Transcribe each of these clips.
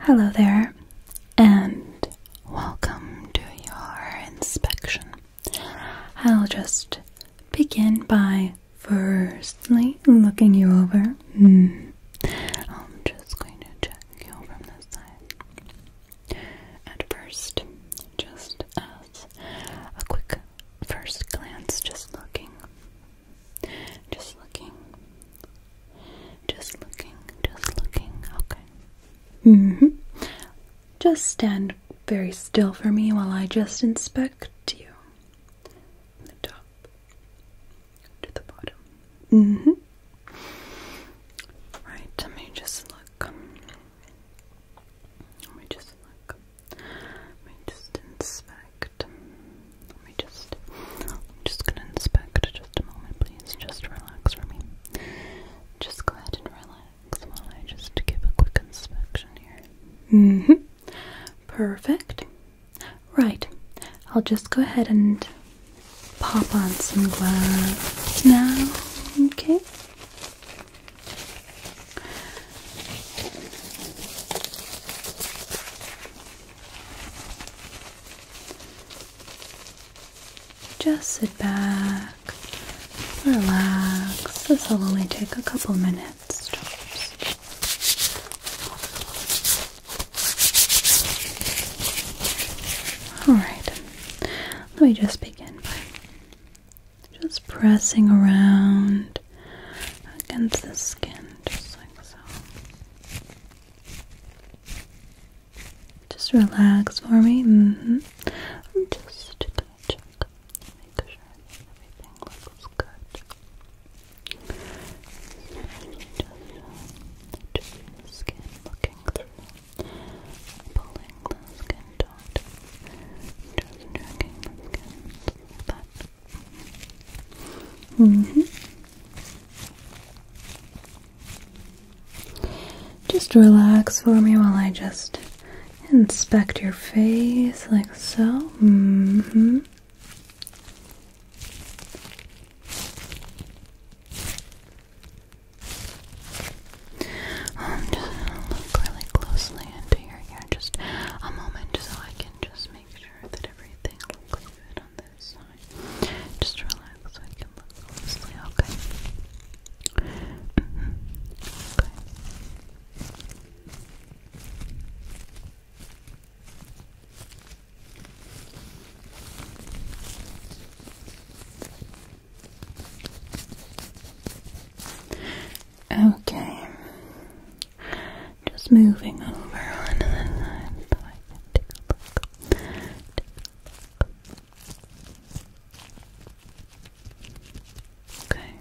Hello there, and welcome to your inspection. I'll just begin by firstly looking you over. Hmm. I'm just going to check you from this side. At first, just as a quick first glance, just looking just looking. Just looking. Just looking. Okay. hmm. Just stand very still for me while I just inspect you. the top to the bottom. hmm. Right, let me just look. Let me just look. Let me just inspect. Let me just, just gonna inspect just a moment, please. Just relax for me. Just go ahead and relax while I just give a quick inspection here. hmm. Perfect. Right. I'll just go ahead and pop on some gloves now. Okay. Just sit back, relax. This will only take a couple minutes. All right, let me just begin by just pressing around against the skin, just like so. Just relax for me. Mm-hmm. just make sure everything looks good. Just uh, the skin looking through, pulling the skin taut, just checking the skin like that. Mm just relax for me while I just inspect your face like so. I'm just gonna look really closely into your hair just a moment so I can just make sure that everything just relax so I can look closely, okay? Okay. Okay. Just moving over onto the side so I can take a look. Take a Okay, Okay,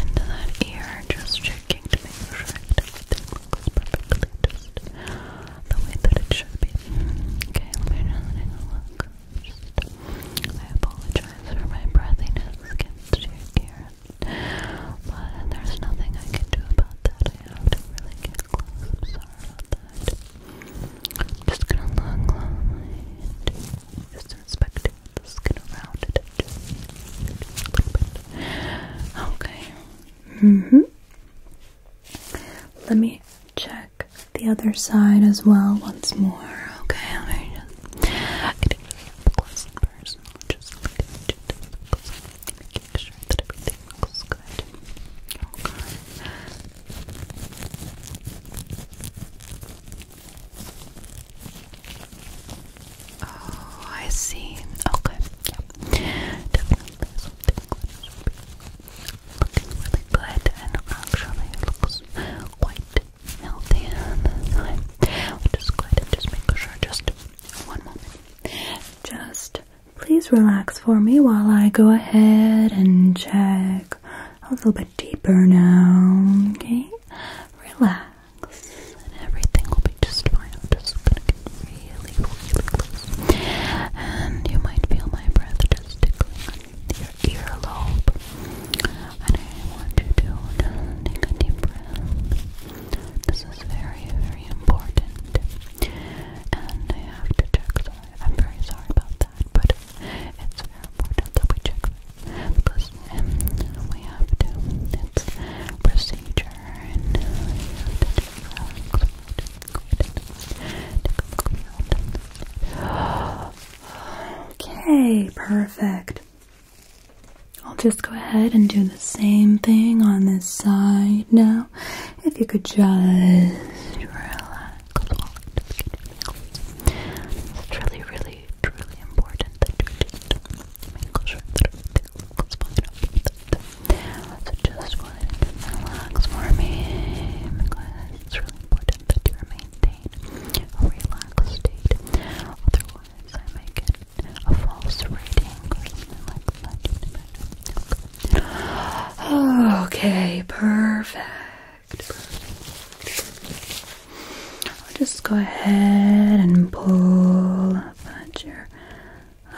into that ear, just checking to make sure everything looks perfectly just the way that it should be. Okay, let me know that look. I apologize for my breathiness against your ear. But there's nothing I can do about that. I have to really get close. I'm sorry about that. just gonna look and just inspect it. Just going it just a little bit. Okay. Mm-hmm. Let me check the other side as well once more. Okay, let me just I sure that everything looks good. Oh, I see. Okay, Definitely something looking really and actually looks quite healthy this time. we just go ahead just make sure, just one moment. Just please relax for me while I go ahead and check a little bit deeper now, okay? Relax, and everything will be just fine. I'm just gonna get really, And you might feel my breath just tickling your earlobe. And I want you to take a breath. This is very, very important. And I have to check, I'm very sorry about that, but it's very important that we check because um, we have to, it's procedure and you have to check, relax, Okay, perfect. I'll just go ahead and do the same thing on this side now. If you could just relax. really, really, truly important so just relax for me it's really important that you maintain a relaxed state. Otherwise, I may get a false rating Okay, perfect. perfect. I'll just go ahead and pull up at your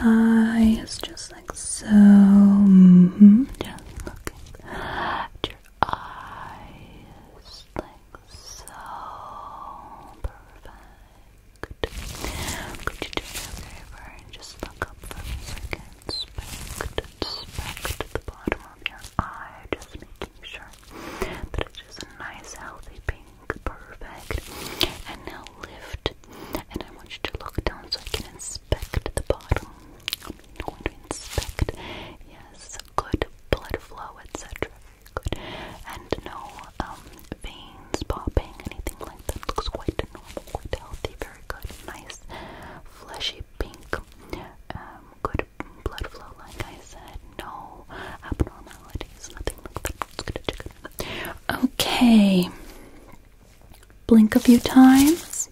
eyes just so. Mm-hmm, just looking at your eyes, like so. Perfect. Could you do me a favor and just look up for me so inspect the bottom of your eye, just making sure that it's just a nice, healthy pink. Perfect. And now lift, and I want you to look down so I can inspect inspect the bottom. I to inspect. Yes, good blood flow, etc. Good. And no um, veins popping, anything like that. Looks quite normal, quite healthy. Very good. Nice, fleshy pink. Um, good blood flow, like I said. No abnormalities, nothing Okay. Blink a few times.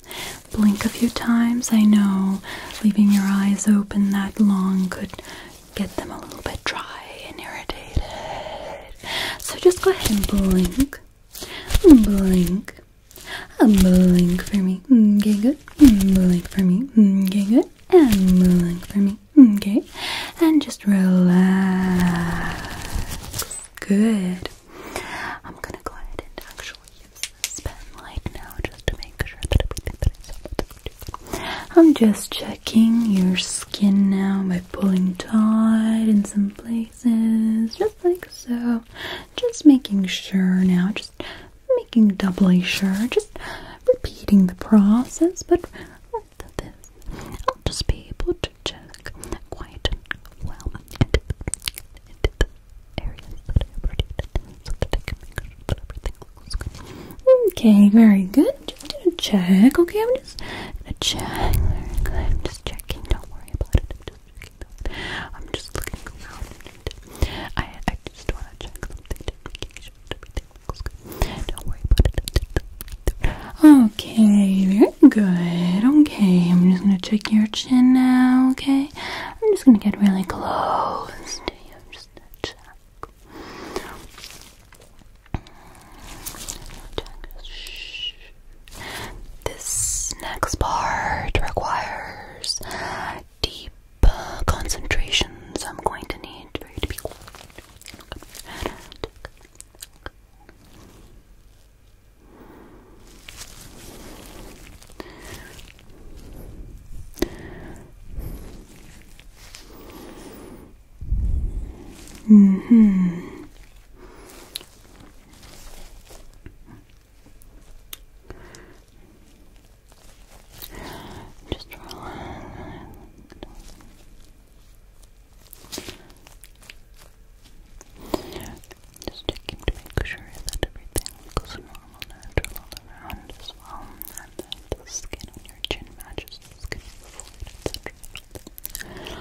Blink a few times. I know leaving your eyes open that long could get them a little bit dry and irritated. So just go ahead and blink. Blink. Blink for me. Okay, good. Blink for me. Okay, good. And blink for me. Okay. And just relax. Good. I'm gonna go ahead and actually use this pen light now just to make sure that everything that is up I'm just checking your skin now by pulling tight in some places, just like so. Just making sure now, just making doubly sure, just repeating the process, but this, I'll just be able to to check quite well into the, into the areas that I have already done so that I can make sure that everything looks good. Okay, very good. Just gonna check, okay? I'm just gonna check. Very good. I'm just checking. Don't worry about it. I'm just checking. That. I'm just looking around. I, I just wanna check something to make sure that everything looks good. Don't worry about it. Okay, Good. Okay, I'm just gonna check your chin now, okay? I'm just gonna get really close This next part requires deep concentration, so I'm going to need for you to be Mm hmm. Just relax. Just checking to make sure that everything looks normal, natural all around as well, and that the skin on your chin matches the skin on your forehead, etc.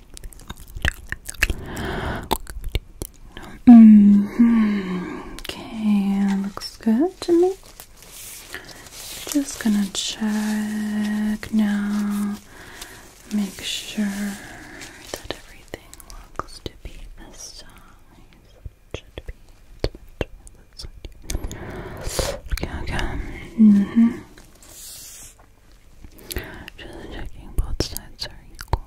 Mm -hmm. Okay, looks good to me. Just gonna check now, make sure that everything looks to be the size Okay, okay. Mm-hmm. Just checking both sides are equal.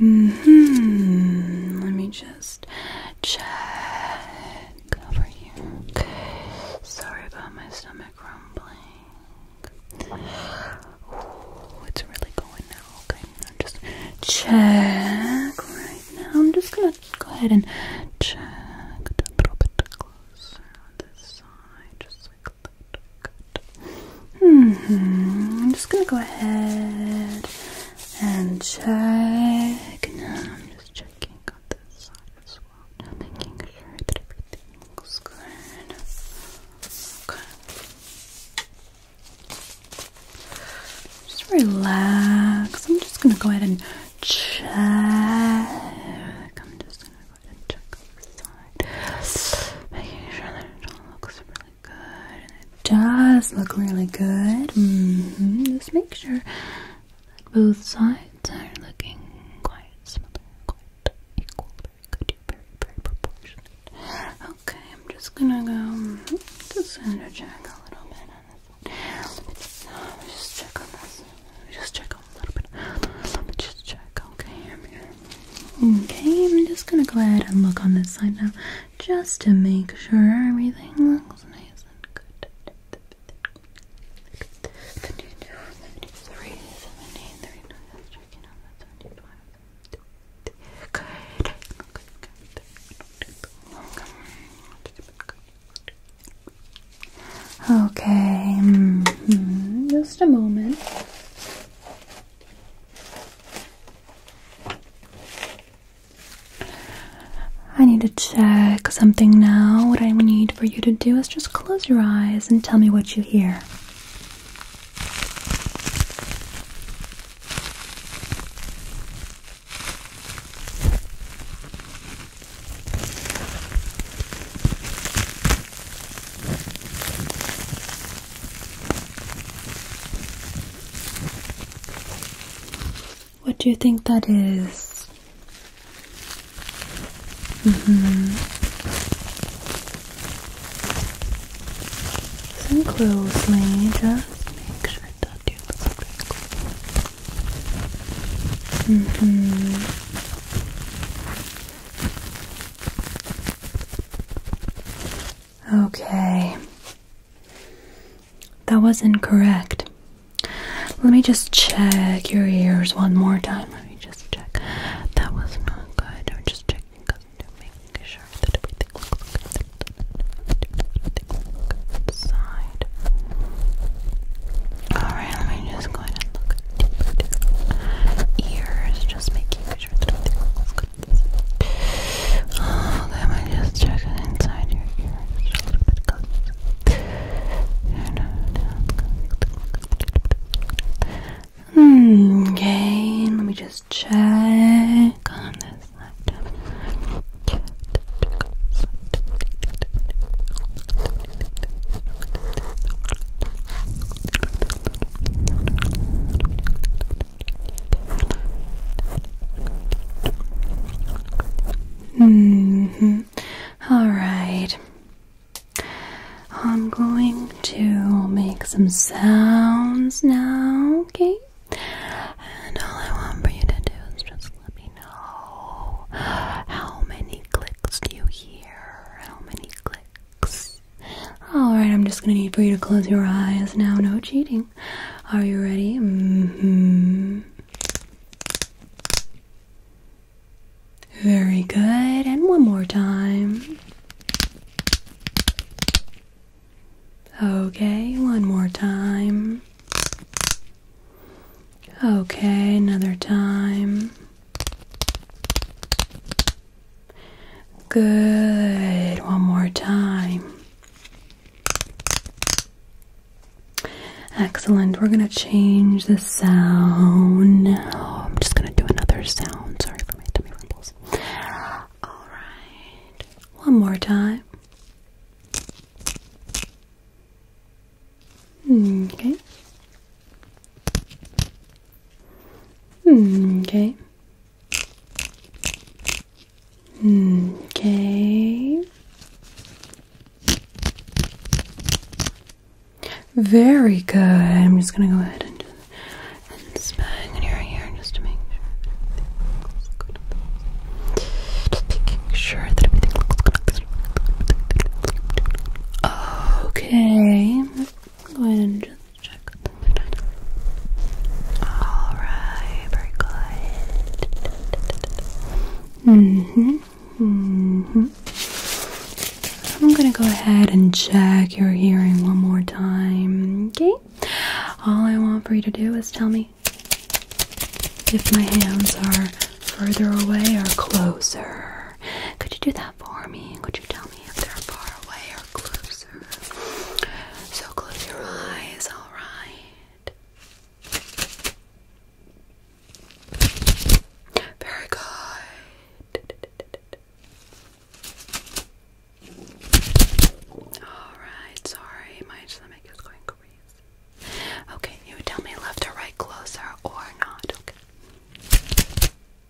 Mm hmm. Let me just check over here. Sorry about my stomach rumbling. Oh, it's really going now. Okay, I'm just check right now. I'm just gonna go ahead and check a little bit closer on this side, just like hmm. I'm just gonna go ahead and check. I'm just checking on this side as well. making sure that everything looks good. Okay. Just relax. I'm just gonna go ahead and check. I'm just gonna does look really good. Mm-hmm. Just make sure that both sides are looking quite similar, quite equal, very good, very, very proportionate. Okay, I'm just gonna go. Mm-hmm, just gonna check a little bit on Just check on this. Just check Okay, I'm just gonna go ahead and look on this side now, just to make sure everything looks nice and good. Okay. Mm-hmm, just a moment. I need to check something now. What I need for you to do is just close your eyes and tell me what you hear. What do you think that is? Mm-hmm. Listen closely, just make sure that you listen very close. Mm-hmm. Okay. That was incorrect. Let me just check your ears one more time. Let me just check. That was not good. I'm just checking making sure everything looks good. Everything Alright, let me just go ahead and look ears, just making sure that everything looks good. let oh, me just check inside your ears, just hmm, okay, let me just check hmm. All right. I'm going to make some sounds now, okay? And all I want for you to do is just let me know how many clicks do you hear? How many clicks? Alright, I'm just gonna need for you to close your eyes now. No cheating. Are you ready? Mm-hmm. Very good. And one more time. Okay, one more time. Okay, another time. Good. One more time. Excellent. We're going to change the sound. Oh, I'm just going to do another sound. Sorry for my tummy rumbles. All right. One more time. Hmm, okay. Okay. Okay. Very good. I'm just gonna go ahead and do and spang in your ear just to make sure Just making sure that everything Okay. Go ahead and just check Alright, very good. hmm hmm I'm gonna go ahead and check your hearing one more time. Okay? All I want for you to do is tell me if my hands are further away or closer. Could you do that? for me? Could you tell me if they're far away or closer? So close your eyes, alright. Very good. Alright, sorry, my stomach is going crazy. Okay, you tell me left or right, closer or not, okay?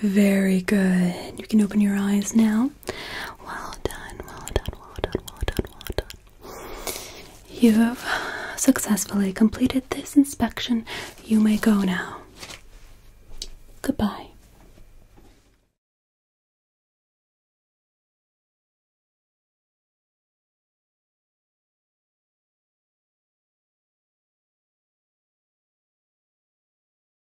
Very good. You can open your eyes now. Well done, well done, well done, well done, well done. You have successfully completed this inspection. You may go now. Goodbye.